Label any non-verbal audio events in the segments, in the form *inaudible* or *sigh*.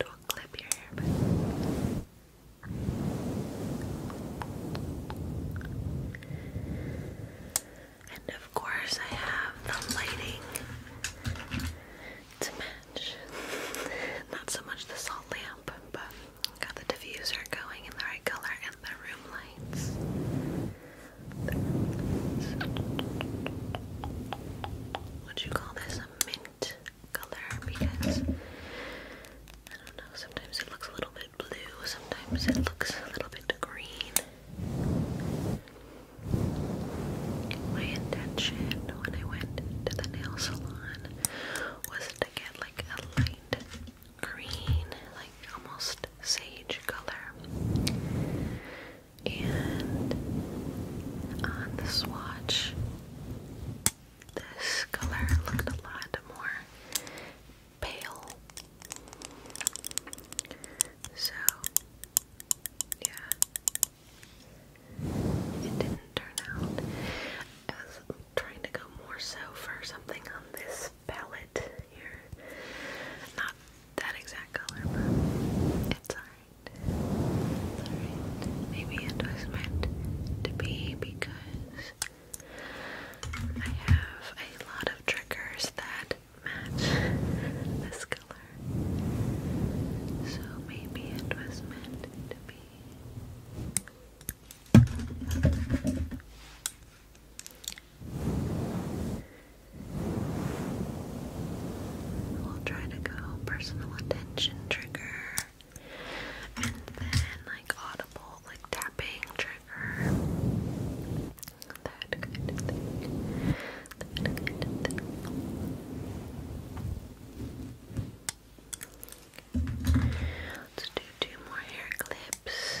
And we'll clip your hair back. And of course, I have the lighting to match. Not so much the salt lamp, but got the diffuser going in the right color and the room lights. Would you call this a mint color? Because I don't know, sometimes it looks a little bit blue, sometimes it looks a little bit green. My intention when I went to the nail salon was to get like a light green, like almost sage color. And on the swatch, this color looked a lot more pale. So, yeah. It didn't turn out. I was trying to go more so for something on this palette here. Not that exact color, but it's alright. Maybe it was meant to be because I have a lot of triggers that match this color. So maybe it was meant to be. We'll try to go personal attention trigger and then like audible, like tapping trigger. That good Let's do two more hair clips.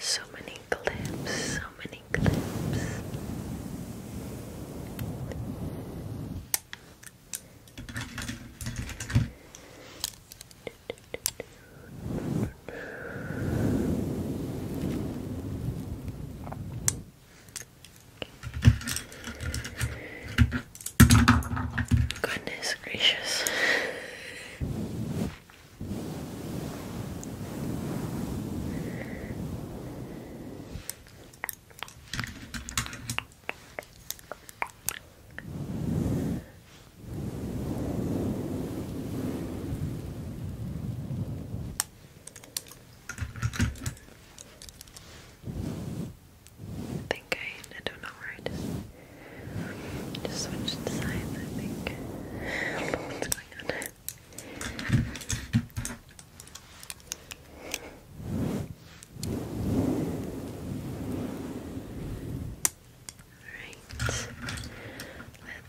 So many clips, so many an eclipse. Goodness gracious. I think I, I don't know where I just, just switched sides, I think. *laughs* what's going on. Alright,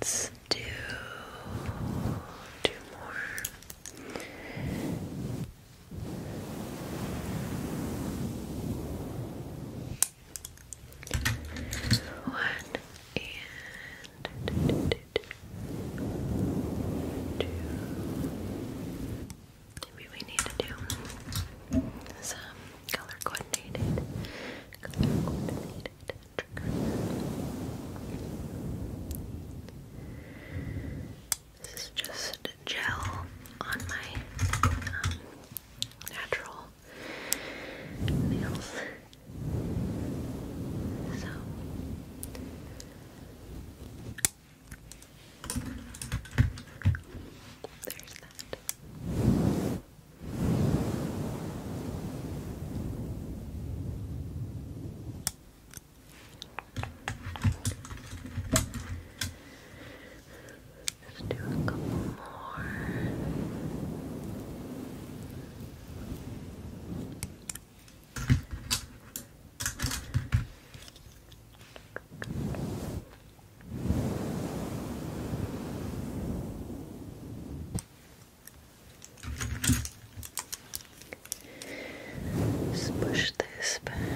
let's do two more. One and it. Two. Maybe we need to do some color coordinated, This is just gel on my um, natural nails. So there's that. Let's do a couple more push this Perfect.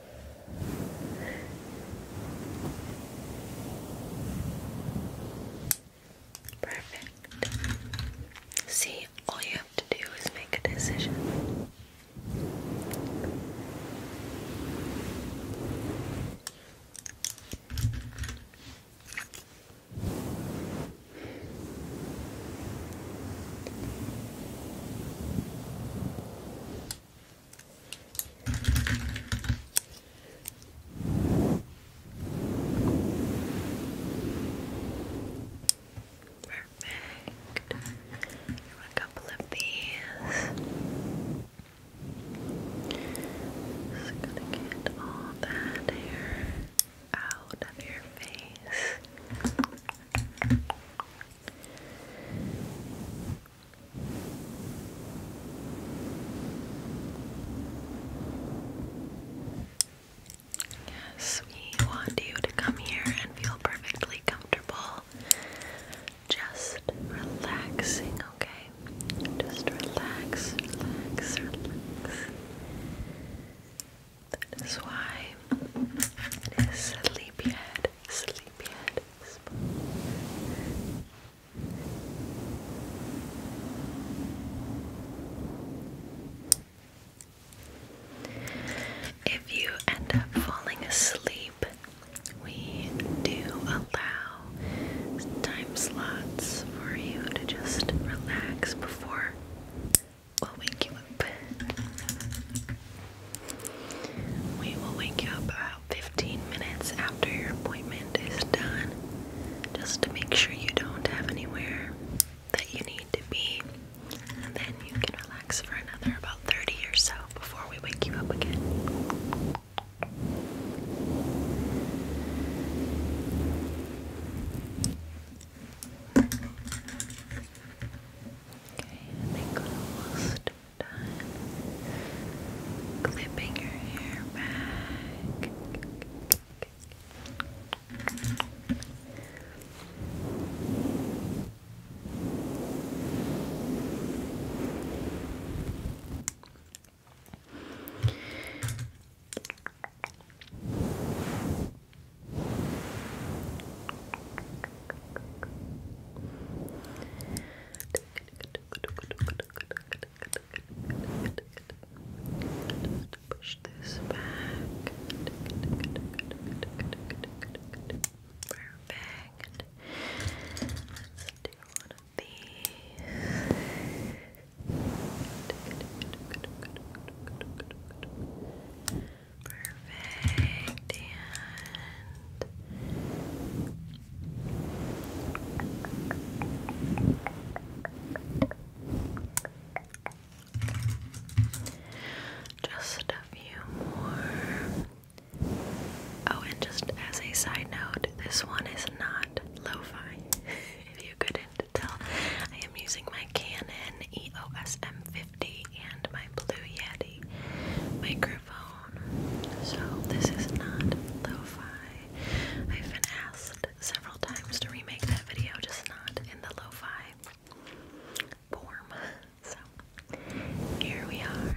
Perfect. See, all you have to do is make a decision. Perfect. A couple of these. Just gonna get all that hair out of your face. Yes, we want you to come here and feel perfectly comfortable. Just relaxing, okay? Just relax, relax, relax. That is why it is sleepyhead, sleepyhead. If you end up falling asleep, we do allow time slots for you to just relax before we'll wake you up. We will wake you up about 15 minutes after your appointment is done just to make sure you don't have anywhere that you need to be. And then you can relax for another about 30 or so before we wake you up again. Okay, I think almost clipping your hair back. Just push this back. Perfect. Let's do one of these. Perfect. And just a few more. Oh, and just as a side note, this one is not lo fi. *laughs* if you couldn't tell, I am using my Canon EOS M50 and my Blue Yeti micro so this is not lo-fi. I've been asked several times to remake that video, just not in the lo-fi form. *laughs* So here we are.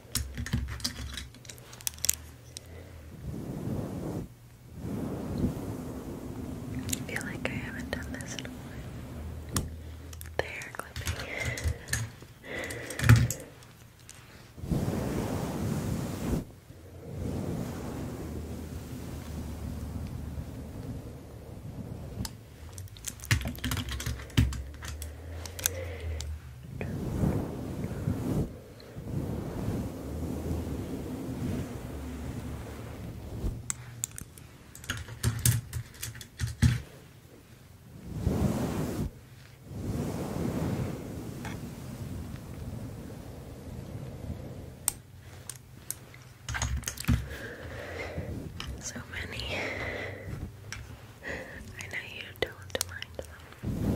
I feel like I haven't done this in a while. hair clipping. So many. I know you don't mind them.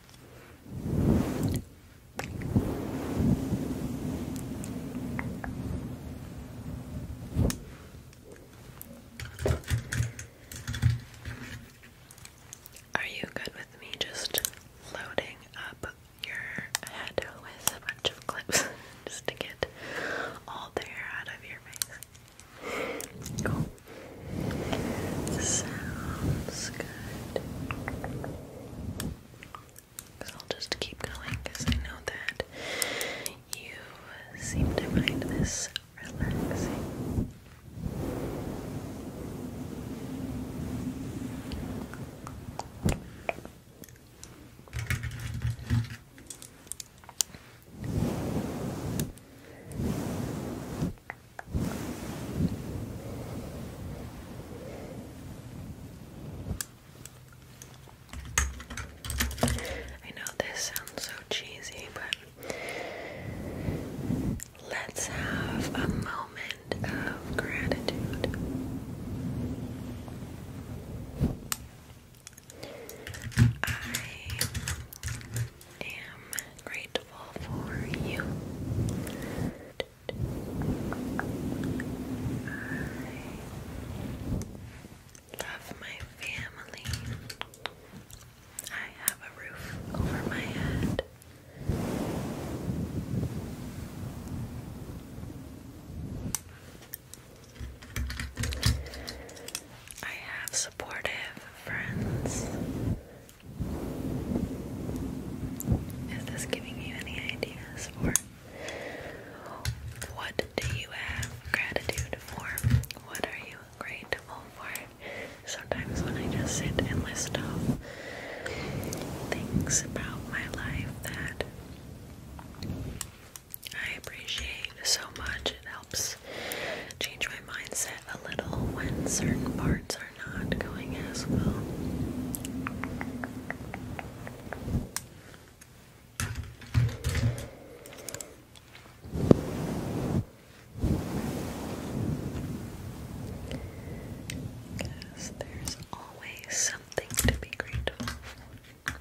Are you good with me just loading up your head with a bunch of clips *laughs* just to get all the hair out of your face? Sounds good. I'll just keep going I know that you seem to find this relaxing. Good. I know this sounds so cheesy, but let's have a moment of gratitude. I am grateful for you. I love my family. I have a roof over my head. I have supportive friends. Is this giving you any ideas for what do you have gratitude for? What are you grateful for? Sometimes when I just sit and list off things about my life that I appreciate so much, it helps change my mindset a little when certain parts are not going as well. Because there's always something to be grateful for.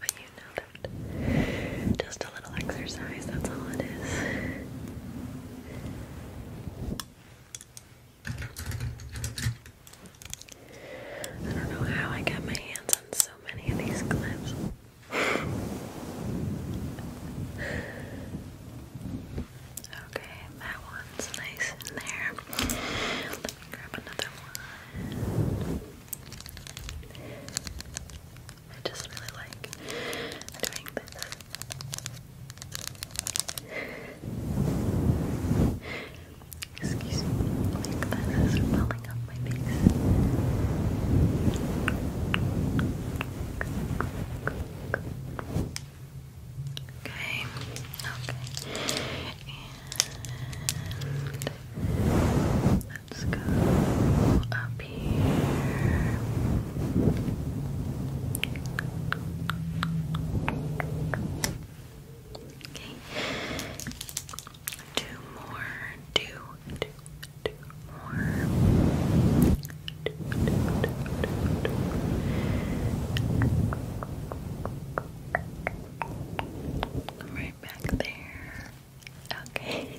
But you know that. Just a little exercise, that's all it is. I don't know how I got my hands on so many of these clips. okay, that one's nice in there. Let me grab another one. I just really like doing this. Excuse me, my glasses are falling off my face. Okay, okay. let's go up Okay. Two more. Two, two, two more. Two, two, two, two, right back there. Okay.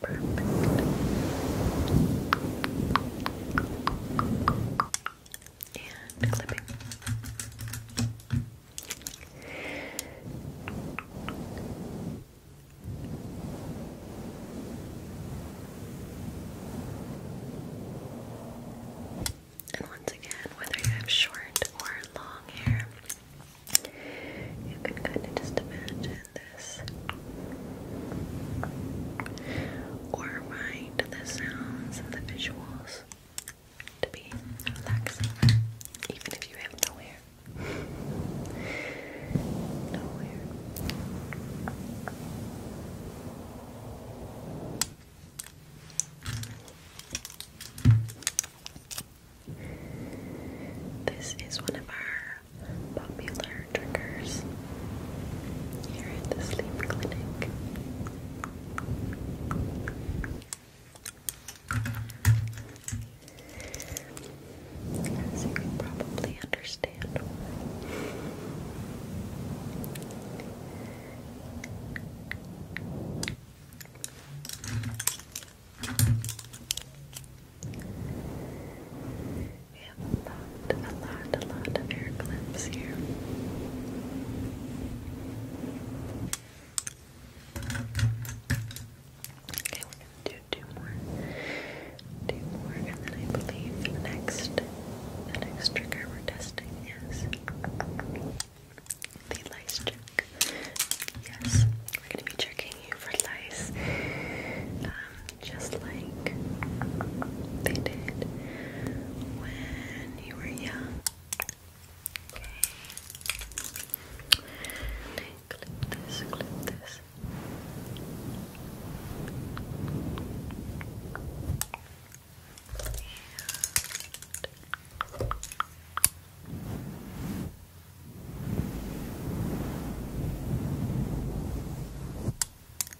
perfect. And clipping. And once again, whether you have short or long hair, you can kind of just imagine this or find the sounds and the visuals to be relaxing, even if you have no This is one of our popular drinkers here at the sleep clinic. As you probably understand. We have a lot, a lot, a lot of air clips here. Okay, we're gonna do two more, two more, and then I believe next, the next trigger we're testing is the lice check. Yes, we're gonna be checking you for lice. Um, just like they did when you were young. Clip this, clip this.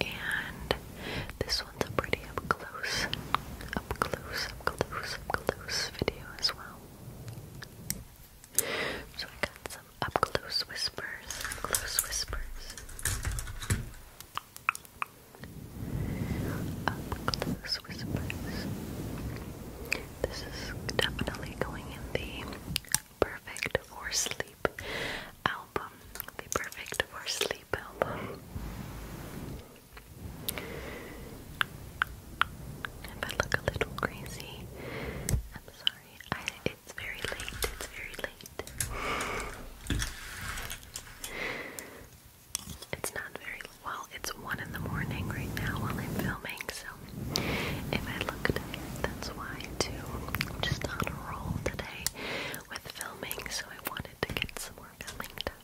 And this one's a pretty up close, up close, up close, up close video as well. So I got some up close whispers, close whispers. Up close whispers. This is definitely going in the perfect for sleep. i the perfect for sleep album. If I look a little crazy, I'm sorry. it's very late. It's very late. It's not very well. It's one in the morning right now while I'm filming, so if I look tired, that's why too. I'm just on a roll today with filming, so I wanted to get some more filming done.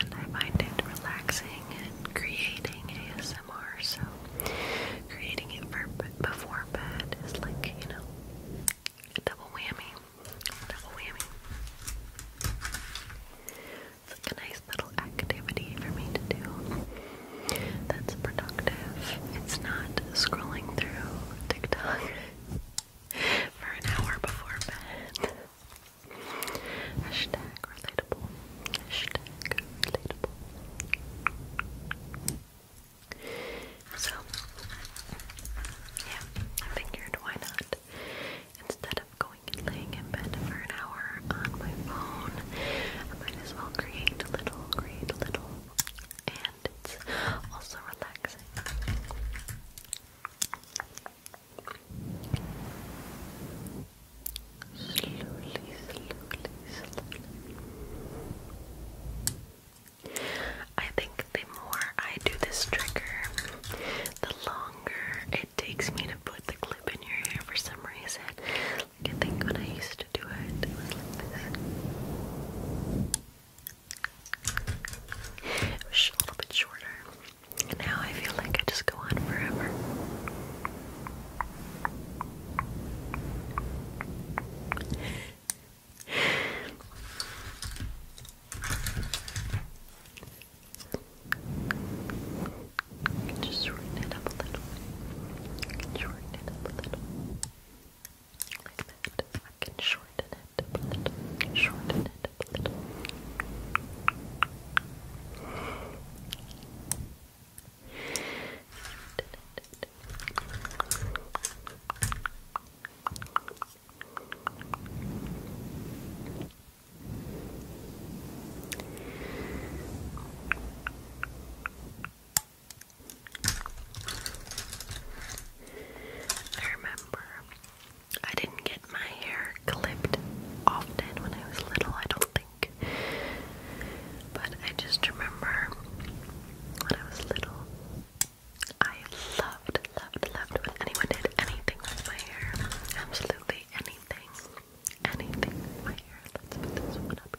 And I find it relaxing and creating ASMR, so creating it for before bed is like, you know, a double whammy. Double whammy. It's like a nice little little activity for me to do that's productive. It's not scrolling through TikTok *laughs* for an hour before bed. Hashtag relatable. Hashtag relatable. So, yeah, I figured why not? Instead of going and laying in bed for an hour on my phone, I might as well create little, create little, and it's also relaxing. Slowly, slowly, slowly. I think the more I do this trigger, the longer it takes me to put the clip in your hair for some reason. I think when I used to was like It was a little bit shorter. And now I feel like I just go on forever. You can just shorten it up a little. You shorten it up a little. Like that. I can shorten it up a little. Shorten it up a little. I remember I didn't get my hair clipped often when I was little, I don't think. But I just remember when I was little, I loved, loved, loved when anyone did anything with my hair. Absolutely anything. Anything my hair. Let's put this one up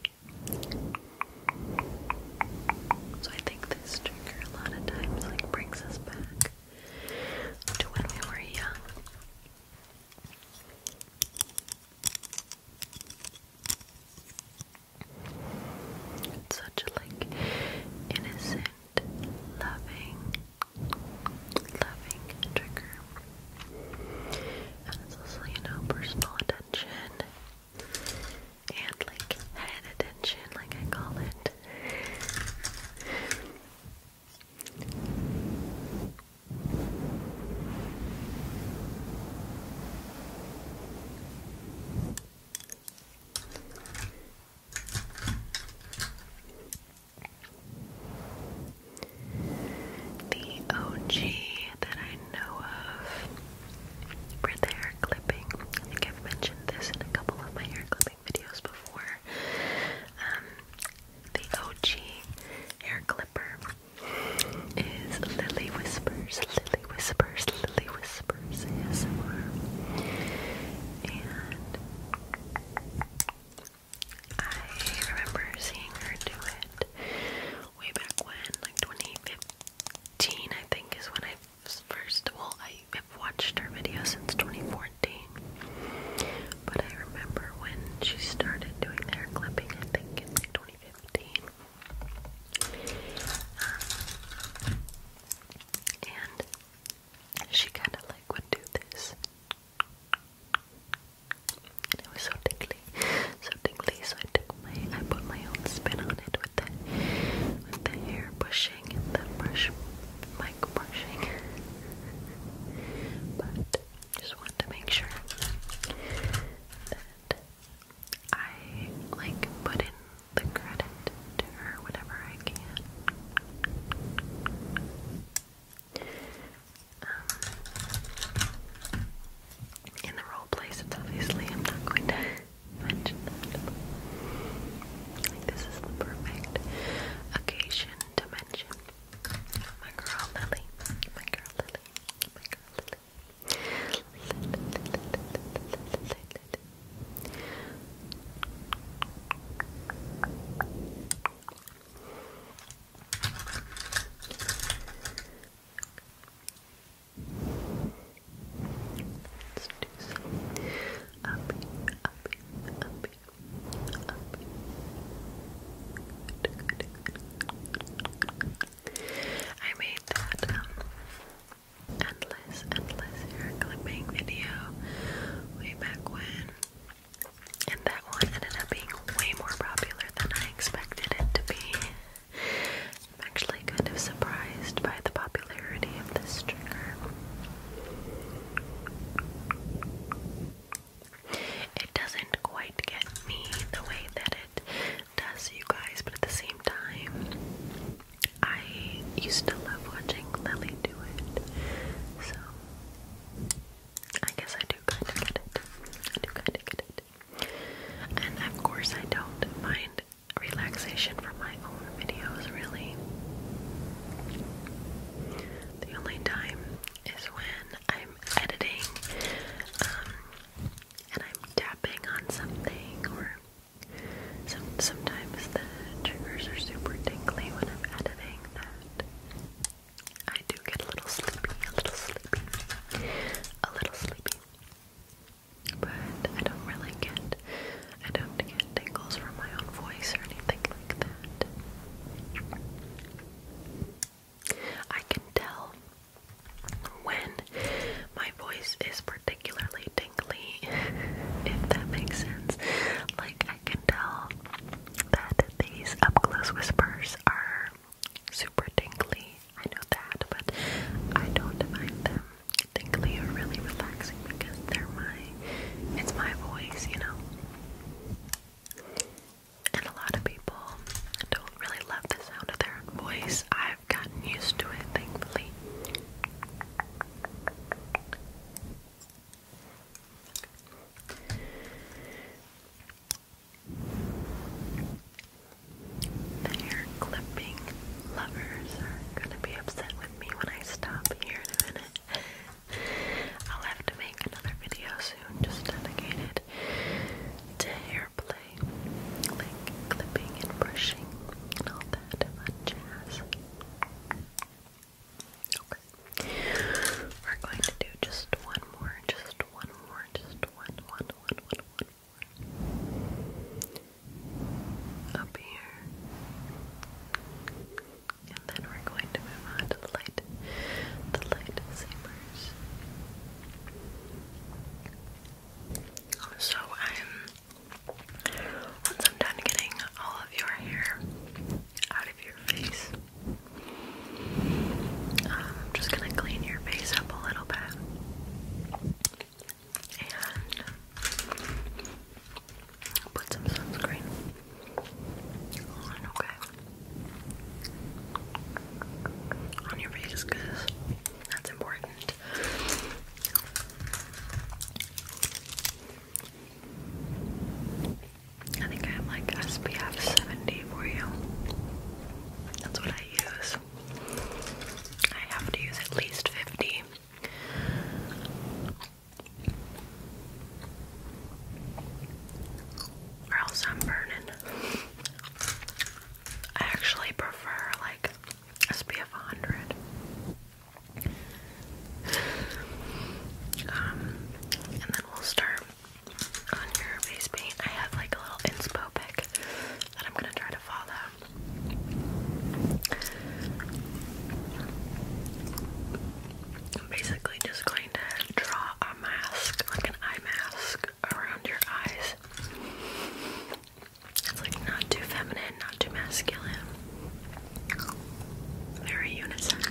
so I think this trigger a lot of times like brings us back to when we were young. It's such a like innocent, loving, loving trigger. And it's also, you know, personal tension and like head attention, like I call it. The OG that I know of for the hair clipping. I think I've mentioned this in a couple of my hair clipping videos before. Um, the OG hair clipper is Lily Whispers, Lily Whispers, Lily Whispers And I remember seeing her do it way back when, like 2015, I think, is when I first. Well, I have watched her videos since 2014, but I remember when she started doing their hair clipping. I think in like 2015. Um, and she kind of like would do this it was so tickly, so tickly. So I took my, I put my own spin on it with the, with the hair brushing and the brush, mic brushing. but just wanted to make sure that I like put in the credit to her whenever I can. Um, in the wrong place. It's obviously I'm not going to mention that. this is the perfect occasion to mention my girl Lily. My girl Lily. My girl Lily. Let's do some up here, up here, I made that um, endless, endless hair clipping video way back when, and that one ended up being way more popular than I expected it to be. I'm actually kind of surprised by the popularity of this trigger. It doesn't quite get me the way that it does you guys, but at the same time, I used to love watching Lily do it. So I guess I do kind of get it. do kind of get it. And of course, I don't find relaxation from my own videos really. The only time is when I'm editing um, and I'm tapping on something, or sometimes the triggers are super tingly when I'm editing that. I do get a little sleepy, a little sleepy, a little sleepy. But I don't really get, I don't get tingles from my own voice or anything like that. I can tell when my voice is particularly tingly, *laughs* if that makes sense. Like, I can tell that these up close whispers are super tingly. I know that, but I don't mind them tingly are really relaxing because they're my it's my voice, you know. And a lot of people don't really love the sound of their own voice. I've gotten used to it, thankfully. The clipping lovers are gonna be upset with me when I stop here in a minute. I'll have to make another video soon just dedicated to hair like clipping and brushing and all that fun jazz. Okay. We're going to do just one more, just one more, just one, one, one, one, one, up here, and then we're going to move on to the light, the light sabers. So once I'm done getting all of your hair out of your face, um, I'm just gonna clean your face up a little bit and put some sunscreen on, okay? On your face, that's important. I think I have like SPF 70 for you. That's what I use. I have to use at least 50. Or else I'm burning. I actually prefer like SPF 100. Um, and then we'll start on your face paint. I have like a little inspo pick that I'm gonna try to follow. I'm Basically, just going to draw a mask, like an eye mask, around your eyes. It's like not too feminine, not too masculine. Very unisex.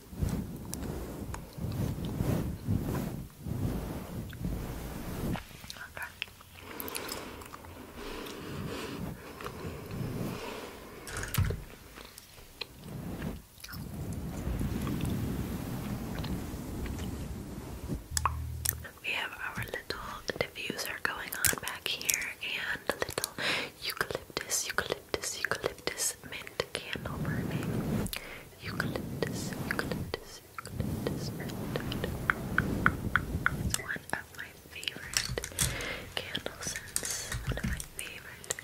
Okay. We have our little diffuser going on back here and a little eucalyptus, eucalyptus, eucalyptus mint candle burning eucalyptus, eucalyptus, eucalyptus one of my favorite candle scents. One of my favorite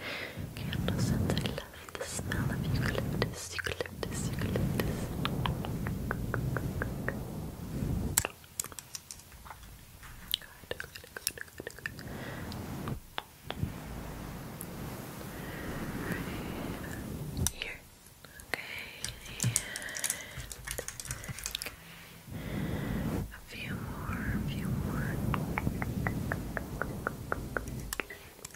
candle scents. I love the smell of eucalyptus, eucalyptus, eucalyptus. Good, good, good, good, good. Right here. Okay, a few more, a few more. Alright. And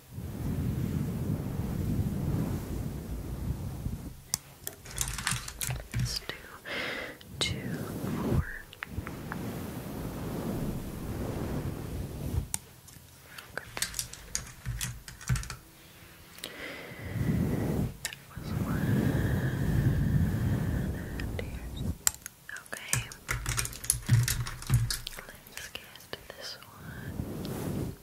Let's do two more. That was one Okay. Let's get this one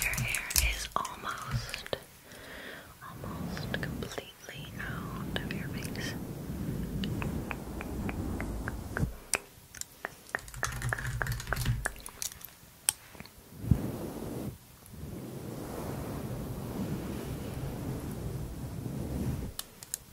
Your hair is almost, almost completely out of your face.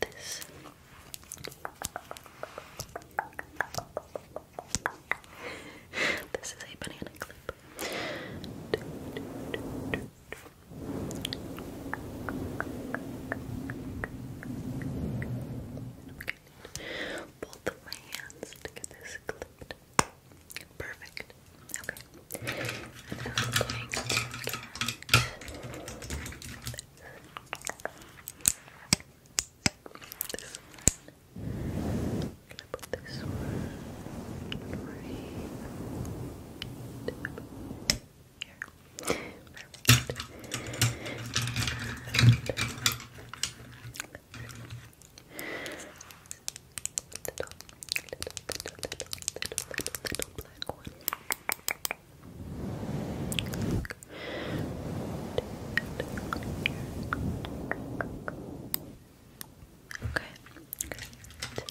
this. this is a banana clip. Both of my hands to get this clipped. Perfect. Okay. And I'm going to get this one. I'm gonna put this one right here. Perfect. Little, little, little, little, little, little black one. Okay. Great.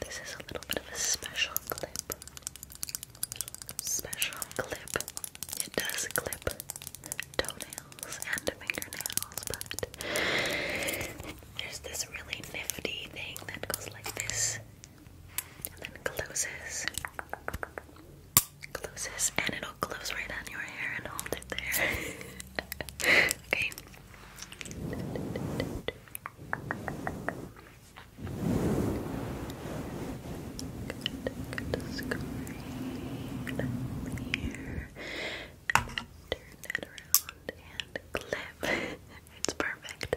This is a little bit of a special clip. Special clip. It does clip toenails and fingernails, but there's this really nifty thing that goes like this and then closes. Closes and it'll close right on your hair and hold it there. okay turn that around and clip. *laughs* it's perfect.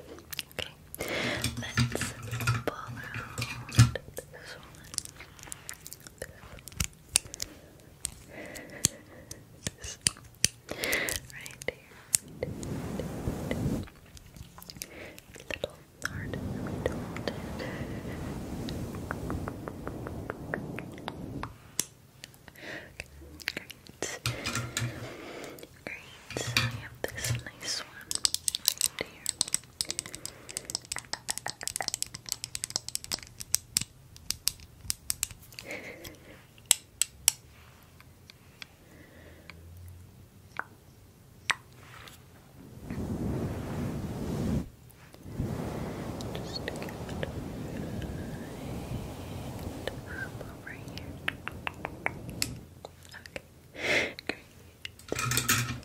Okay, let's pull out Right here. little hard Great. Great. So have this nice one right here. Just to get up over here. Okay, great. Great. Okay.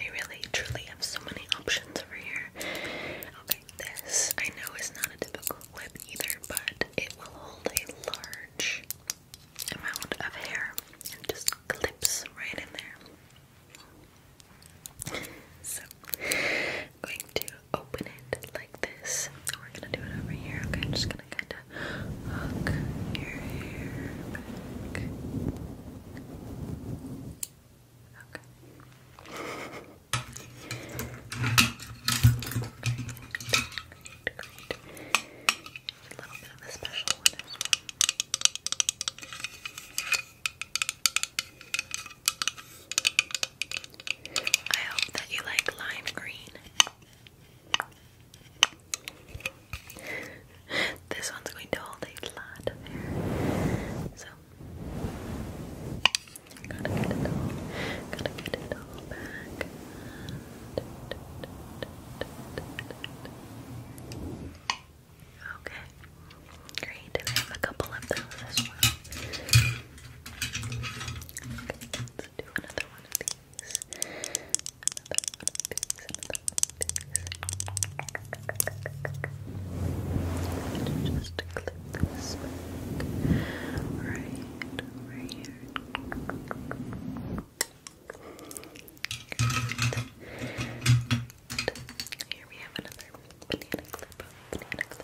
I really truly have so many options over here. Okay, this I know is not a typical lip either, but it will hold a large amount of hair and just clips right in there. So, I'm going to open it like this. We're gonna do it over here. Okay, I'm just gonna kind of hook your hair back. Okay. I hope that you like lime green. this one's going to hold a lot of hair. So gotta get it all. Gotta get it all back. Okay. Great, I have a couple of those as well let's do another one of these. Another one of these, another one of these. Just clip this Right over here. Here we have another Banana clip.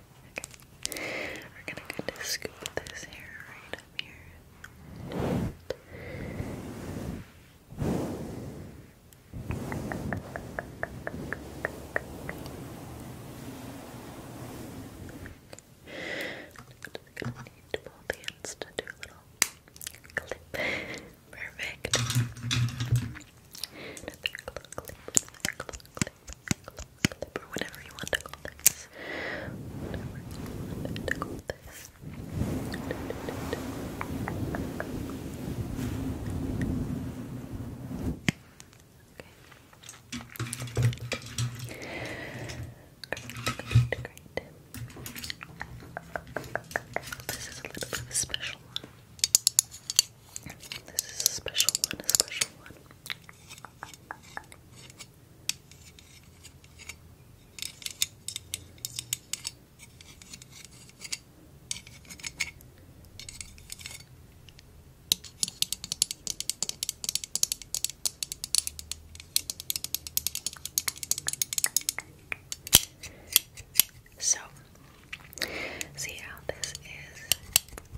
Okay. We're gonna kind of scoop this hair right up here. just gonna need both hands to do a little clip. Perfect clip, whatever you want to call this. Okay. This is a little bit special this is a special one, a special one. So, see how this is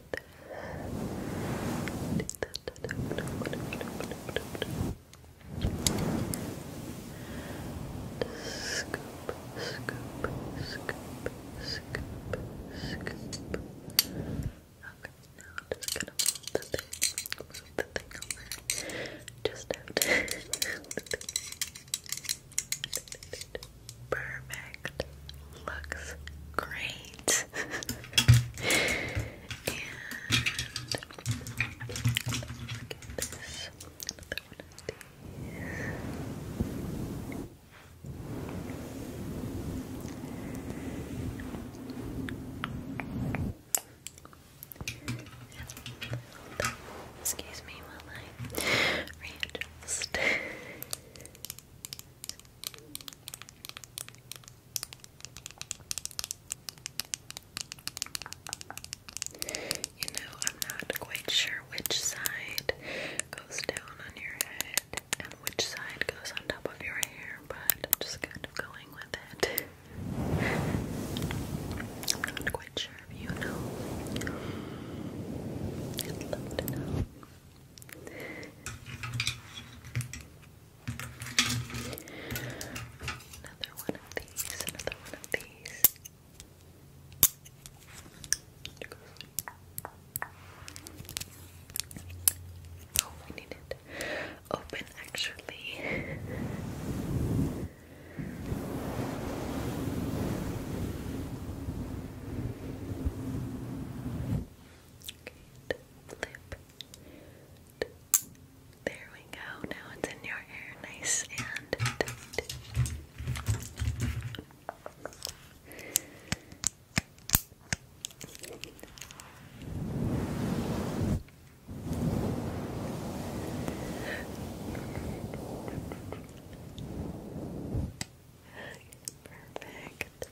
Scoop, scoop, scoop, scoop, scoop. Okay, now I'm just gonna move the thing, over. Just have perfect. Looks great. *laughs* and this. Excuse me while I readjust. *laughs* You know, I'm not quite sure which side goes down on your head and which side goes on top of your hair, but I'm just kind of going with it. not quite sure if you know. I'd love to know. Another one of these, another one of these. Oh, I need it open actually. Okay, flip. There we go. Now it's in your hair, nice and tight. Perfect. Perfect.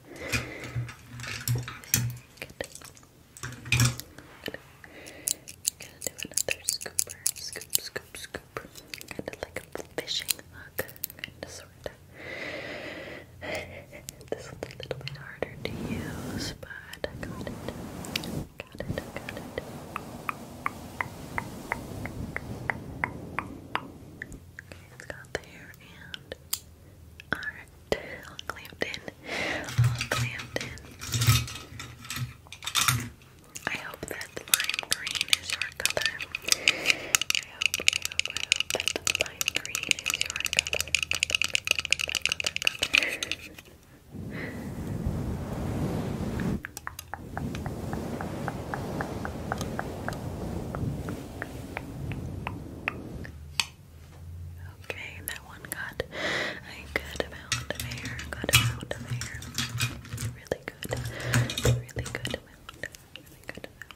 gonna do another scooper. Scoop, scoop, scoop. Kind of like a fishing hook. sort of. This one's a little bit harder to use, but I got it. Got it, got it. Okay, it's got the and all clamped in. All clamped in. I hope that lime green is your color. I hope, I hope, I hope lime green is your color. Okay, that one got a good amount of air. Good amount of air. Really good. Really good amount. Really good amount.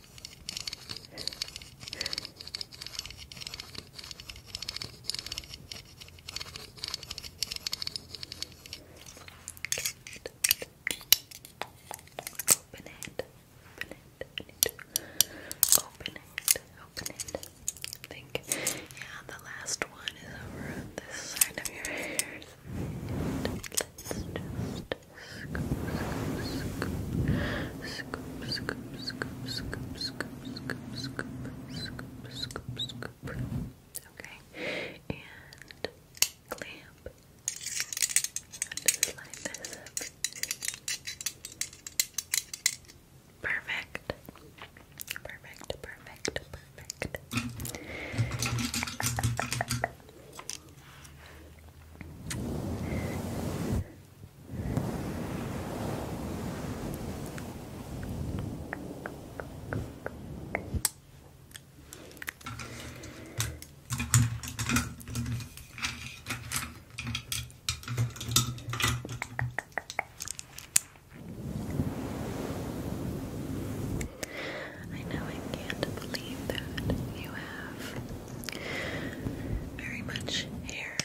Open it. Open it. Open it. Open it. think, yeah, the last one is over on this side of your hair. Let's just scoop, scoop, scoop, scoop, scoop, scoop, scoop, scoop, scoop, scoop. Okay, and clamp. slide this up. Perfect. Perfect. Perfect. Perfect. I know I can't believe that you have very much hair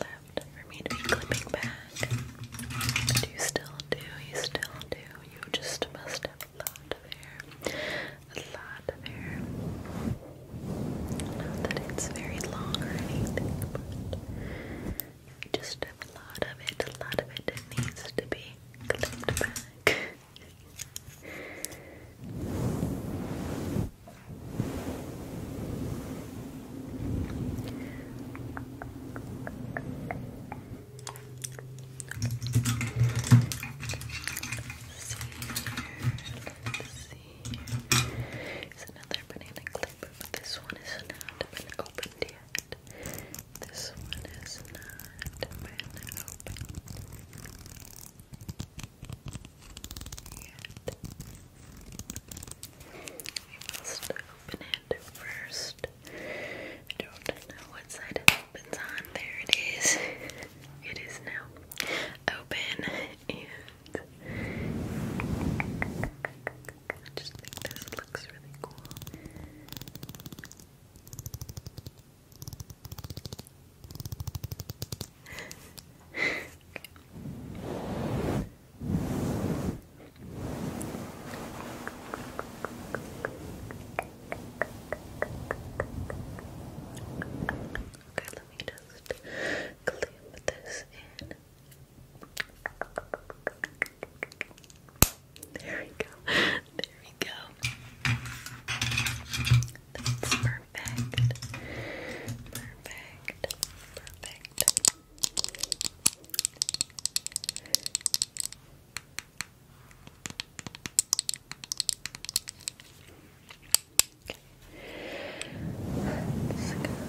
left for me to be clipping back. But you still do, you still do. You just must have a lot of hair. A lot of hair. Not that it's very long or anything, but you just have a lot of it. A lot of it needs to be clipped back. It's another banana clip, but this one is not been opened yet. This one is not been opened. You must open it first. I don't know what side it opens on. There it is. It is now open and I just think this looks really cool okay, let me just clip this in. There we go. *laughs* There we go. That's perfect. Perfect. Perfect. Perfect. Okay.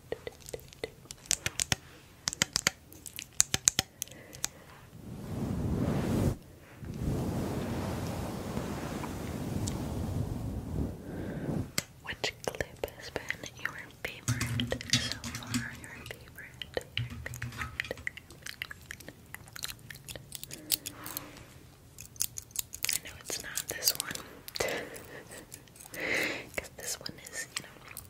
Which clip has been your favorite so far? Your favorite, I know it's not this one. *laughs* Because this one is, you know,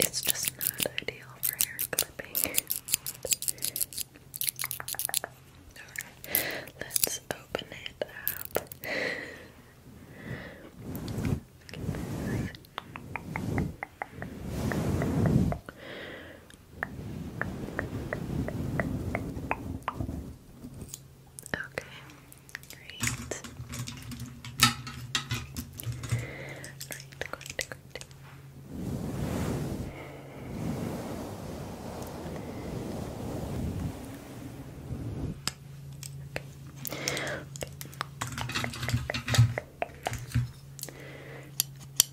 it's just not ideal for hair clipping. Alright, let's open it up. Okay. Great. Great, great, great.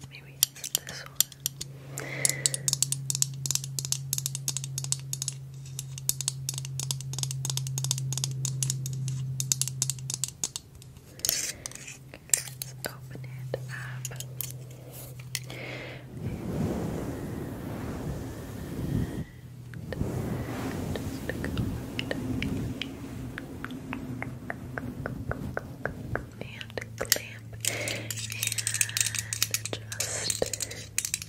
Maybe it's this one. Let's open it up. And just go and clamp and just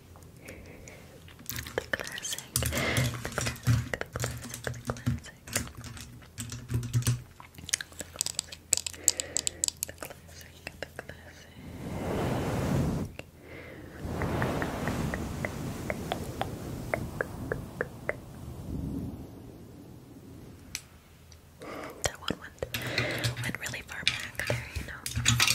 The classic, the classic, the classic, the classic. The classic, the classic, the classic. That one went, went really far back there, you know.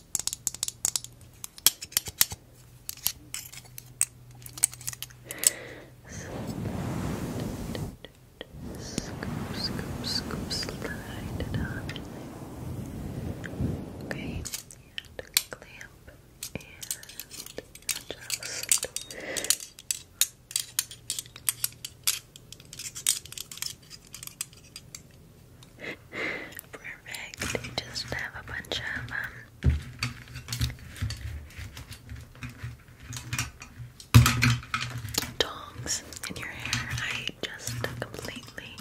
Scoop, scoop, scoop, slide it on. Okay, and clamp and adjust. Okay. Perfect. Just have a bunch of um in your hair. I just completely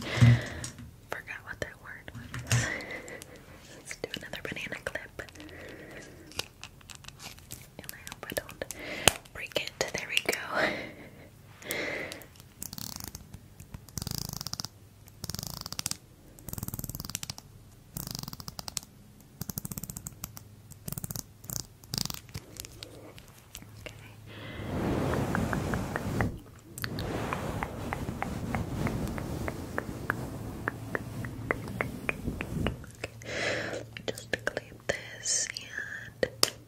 forgot what that word was. Let's do another banana clip. And I hope I don't break it. There we go. Okay. Just clip this and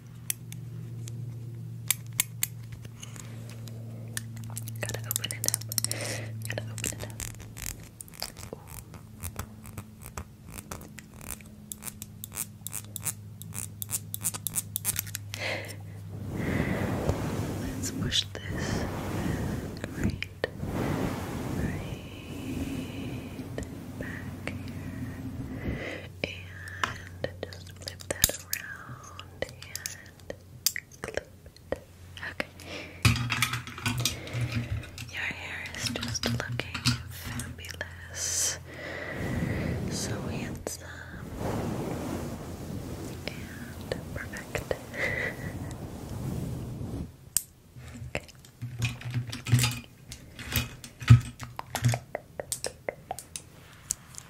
Gotta open it up. Gotta open it up. Let's push this. Great. Right back here. And just flip that and Okay. Your hair is just looking fabulous. So handsome and perfect. okay.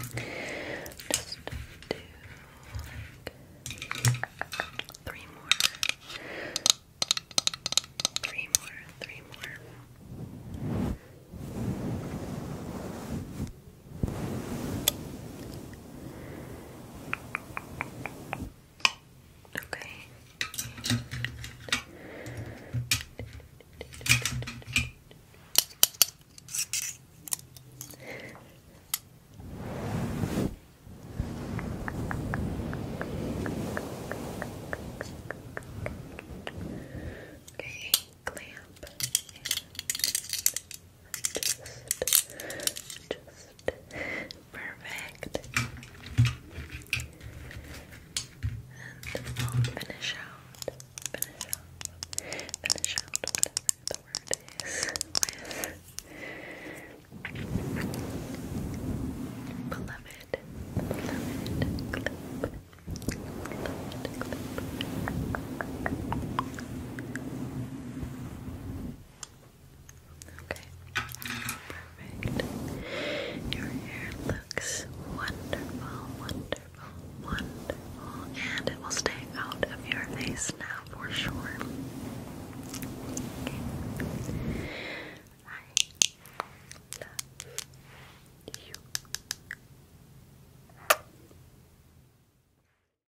Okay. Just do like three more. Three more, three more. Okay. Okay, clamp just, just perfect. And finish out, finish out, finish out whatever the word is beloved, beloved Beloved Okay, perfect. Your hair looks wonderful, wonderful, wonderful, and it will stay out of your face now for sure. I love you.